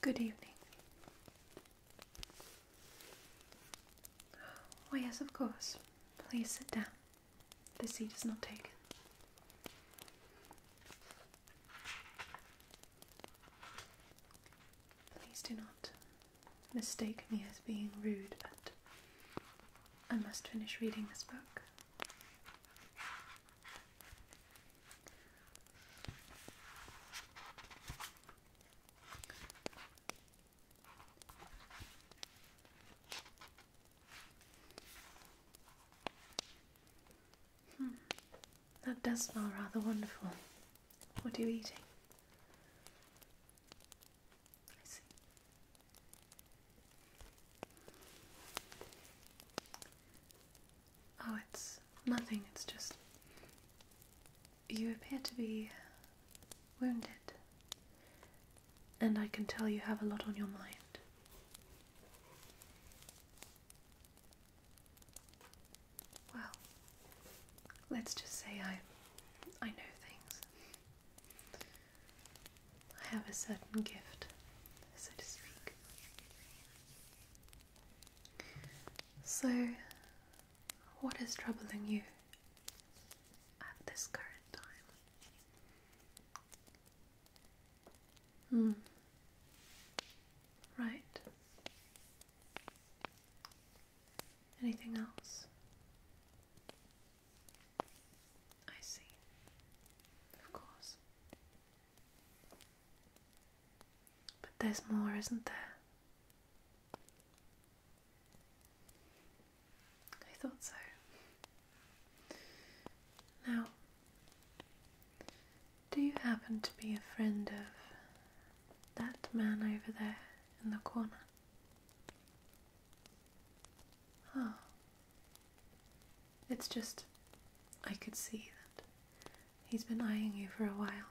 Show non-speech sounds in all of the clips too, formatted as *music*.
Good evening. Oh, yes, of course. Please sit down. The seat is not taken. Please do not mistake me as being rude, but I must finish reading this book. Hmm. That does smell rather wonderful. What are you eating? I see. Oh, it's nothing, it's just. You appear to be wounded, and I can tell you have a lot on your mind. Well, let's just say I I know things. I have a certain gift, so to speak. So, what is troubling you at this current time? Hmm. Right. Anything else? I see. Of course. But there's more, isn't there? I thought so. Now, do you happen to be a friend of that man over there in the corner? Huh. It's just, I could see that he's been eyeing you for a while.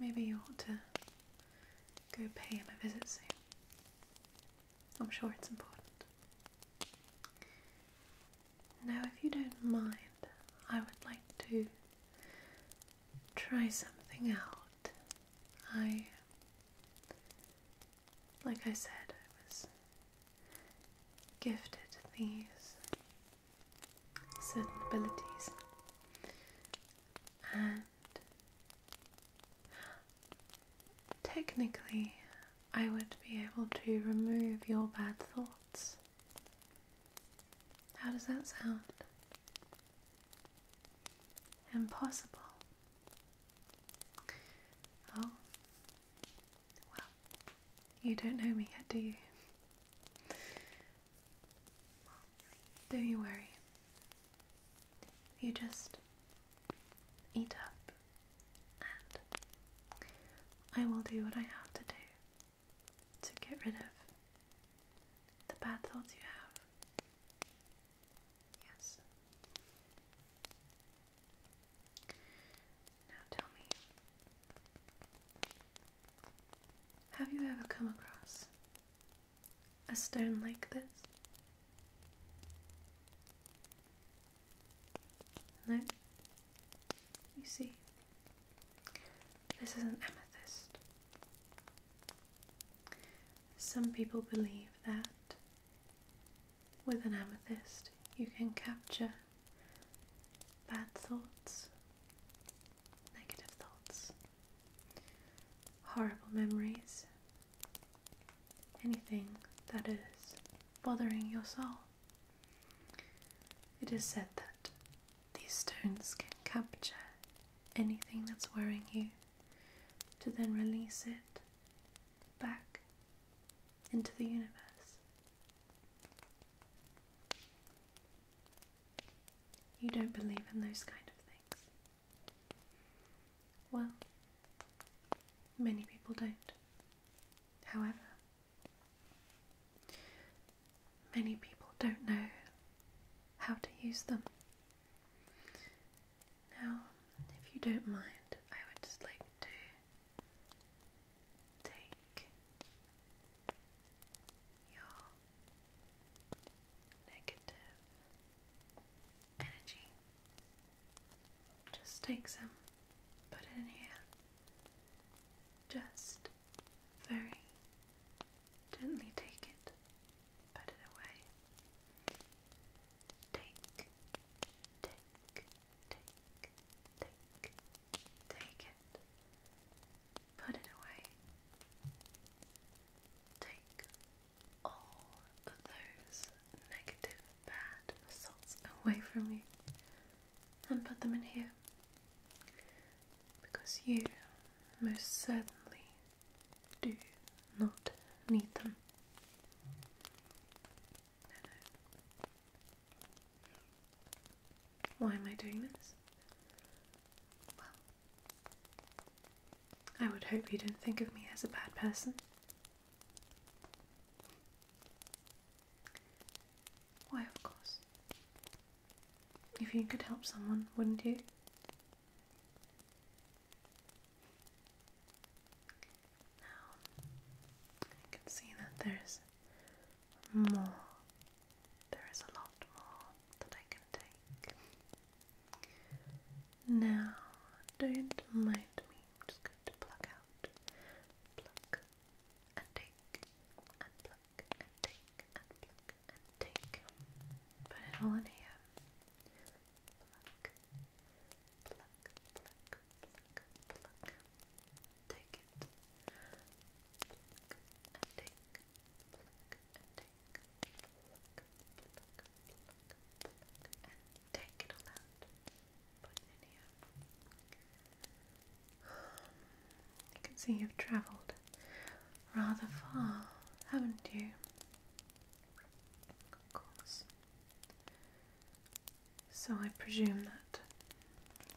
Maybe you ought to go pay him a visit soon. I'm sure it's important. Now, if you don't mind, I would like to try something out. I, like I said, I was gifted these certain abilities, and technically, I would be able to remove your bad thoughts. How does that sound? Impossible. Oh, well, you don't know me yet, do you? Well, don't you worry. You just eat up, and I will do what I have to do to get rid of the bad thoughts you have. Yes. Now tell me, have you ever come across a stone like this? No? You see, this is an amethyst. Some people believe that with an amethyst you can capture bad thoughts, negative thoughts, horrible memories, anything that is bothering your soul. It is said that these stones can capture anything that's worrying you to then release it back into the universe. You don't believe in those kind of things. Well, many people don't. However, many people don't know how to use them. Now, if you don't mind, I would just like to take your negative energy. Just take some, put it in here. Just very Gently take it, put it away. Take, take, take, take, take it, put it away. Take all of those negative, bad thoughts away from you and put them in here because you most certainly do not need them. Why am I doing this? Well, I would hope you don't think of me as a bad person. Why, of course. If you could help someone, wouldn't you? Now I can see that there's more. There is a lot more that I can take. Now, don't mind me. just going to pluck out, pluck and take, and pluck and take, and pluck and take, put it all in here. Pluck, pluck, pluck, pluck, pluck. Take it. Pluck and take, pluck and take, pluck, pluck, pluck, pluck, and take it all out. Put it in here. *sighs* You can see you've travelled rather far, haven't you? So I presume that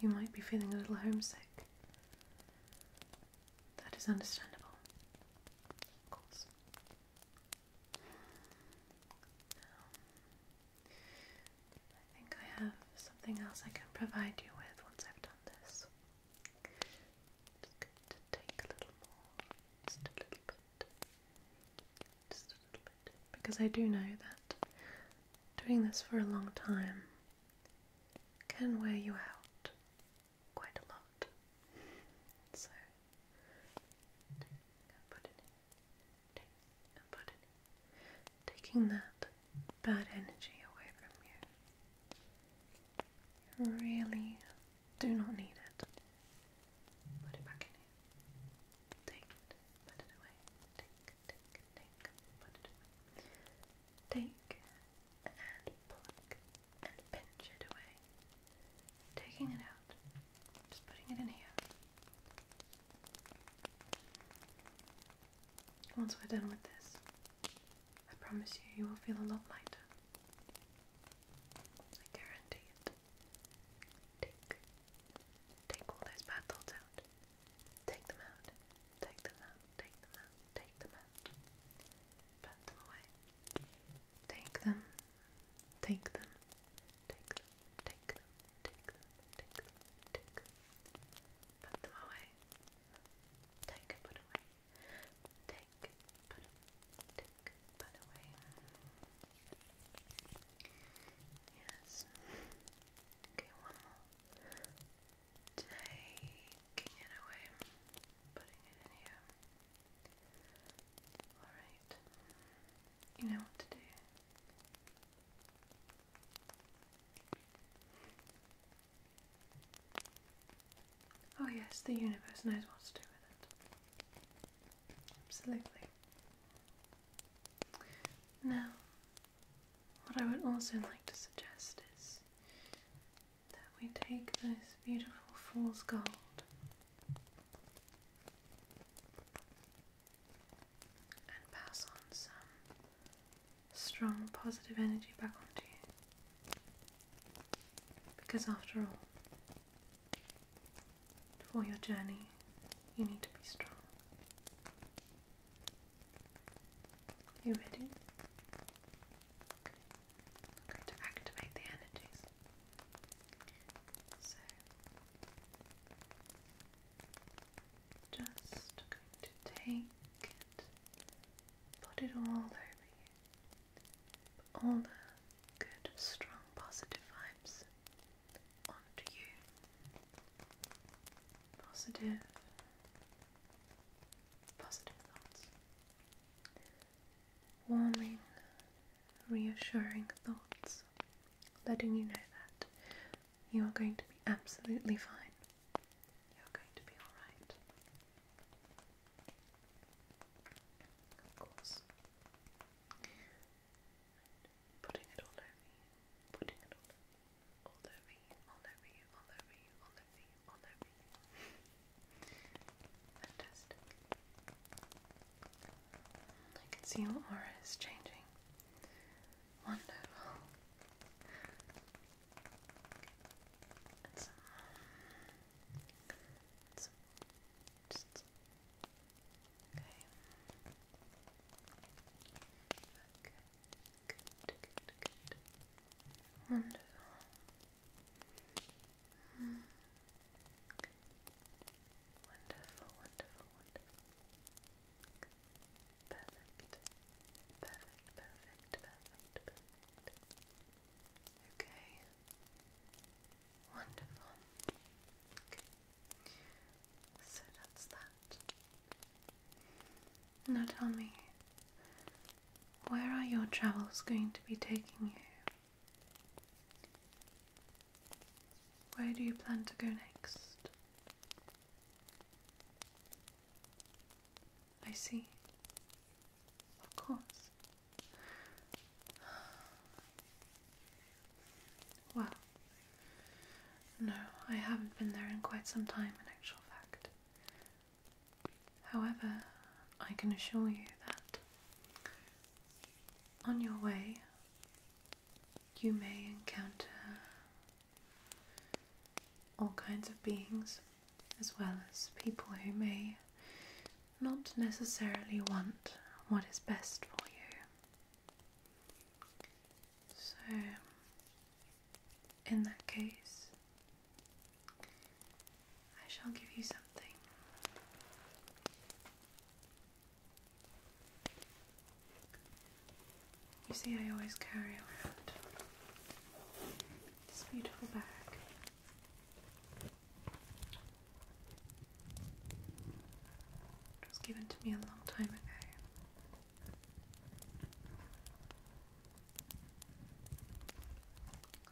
you might be feeling a little homesick. That is understandable. I think I have something else I can provide you with once I've done this. It's good to take a little more, just a little bit, just a little bit, because I do know that doing this for a long time can wear you out quite a lot. So, put it in, and put it taking that bad energy away from you. Really do not need it. Put it back in here. Take Put it away. Take, take, take. Put it away. Take and pluck and pinch it away. Taking it out. Just putting it in here. Once we're done with this, I promise you, you will feel a lot lighter. I guarantee it. Take, take all those bad thoughts out. Take them out. Take them out. Take them out. Take them out. Put them away. Take them. Take them. Take them. Take them. Take them. Take them. Put them away. Take and put away. Take, put, take, put away. Yes. Okay, one more. Taking it away. Putting it in here. Alright. You know what to do. Oh, yes, the universe knows what to do with it. Absolutely. Now, what I would also like to suggest is that we take this beautiful fool's gold and pass on some strong positive energy back onto you. Because after all, for your journey, you need to be strong. You ready? going to activate the energies. So, just going to take and put it all over you all the good, strong, positive vibes onto you. Positive, positive thoughts. Warming, reassuring thoughts, letting you know that you are going to be absolutely fine. You're going to be alright putting it all over you, putting it all over all over all over all over all over Fantastic. I can see your aura is changing. Wonderful. It's, um, just, just, okay. Good, good, good, Wonderful. Mm. Wonderful, wonderful, wonderful. Perfect, perfect, perfect, perfect. Okay. Wonderful. So that's that. Now tell me, where are your travels going to be taking you? Where do you plan to go next? I see. Of course. Well, no, I haven't been there in quite some time, in actual fact. However, I can assure you that on your way, you may encounter all kinds of beings, as well as people who may not necessarily want what is best for you. So, in that case, I shall give you something. You see, I always carry around this beautiful bag was given to me a long time ago.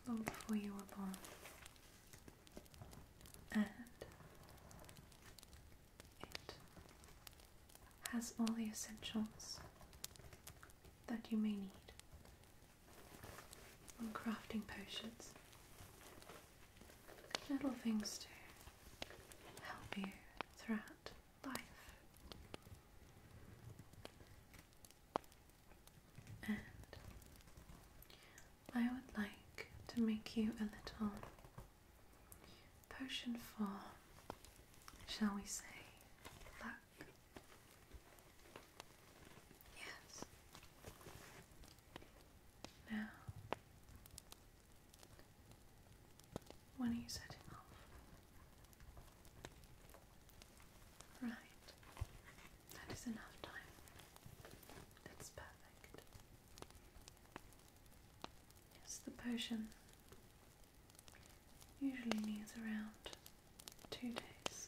Long before you were And it has all the essentials that you may need on crafting potions. Little things to help you throughout life. And I would like to make you a little potion for, shall we say, luck. Yes. Now, when are you setting off? Right. That is enough time. That's perfect. Yes, the potion usually needs around two days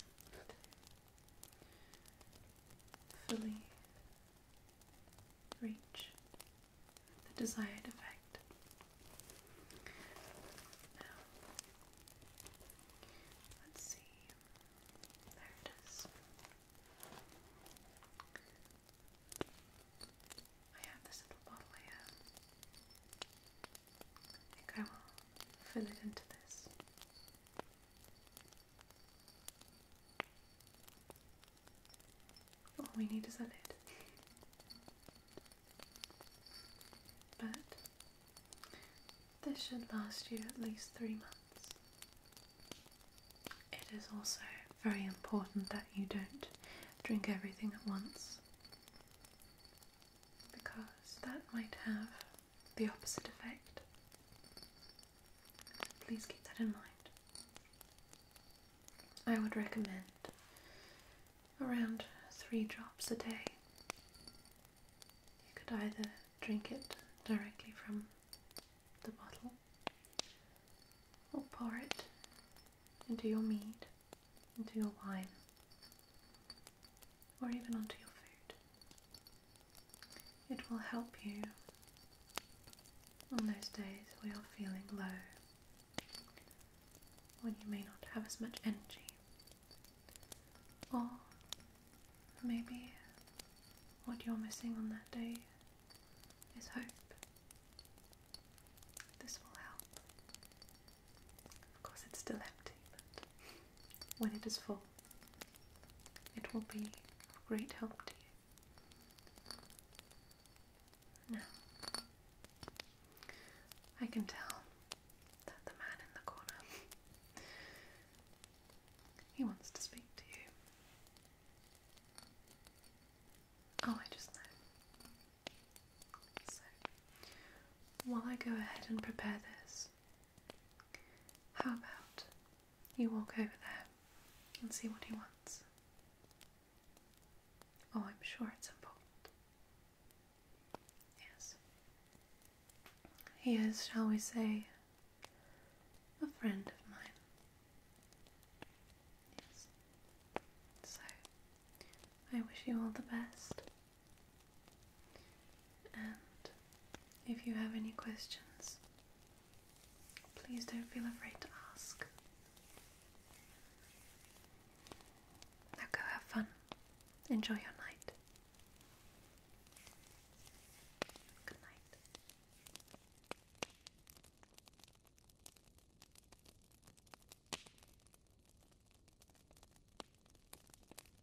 fully reach the desired effect. let's see. There it is. I have this little bottle I think I will fill it into this. All we need is a lid. But this should last you at least three months. It is also very important that you don't drink everything at once because that might have the opposite effect. Please keep that in mind. I would recommend around three drops a day. You could either drink it directly from the bottle or pour it into your mead, into your wine, or even onto your food. It will help you on those days where you're feeling low, when you may not have as much energy, or maybe what you're missing on that day is hope. This will help. Of course, it's still empty, but when it is full, it will be of great help to you. Now, I can tell that the man in the corner, he wants to speak to you. Oh, I just know. So, while I go ahead and prepare this, how about you walk over there and see what he wants? Oh, I'm sure it's important. Yes. He is, shall we say, a friend of mine. Yes. So, I wish you all the best. And if you have any questions, please don't feel afraid to ask. Now go have fun. Enjoy your night. Good night.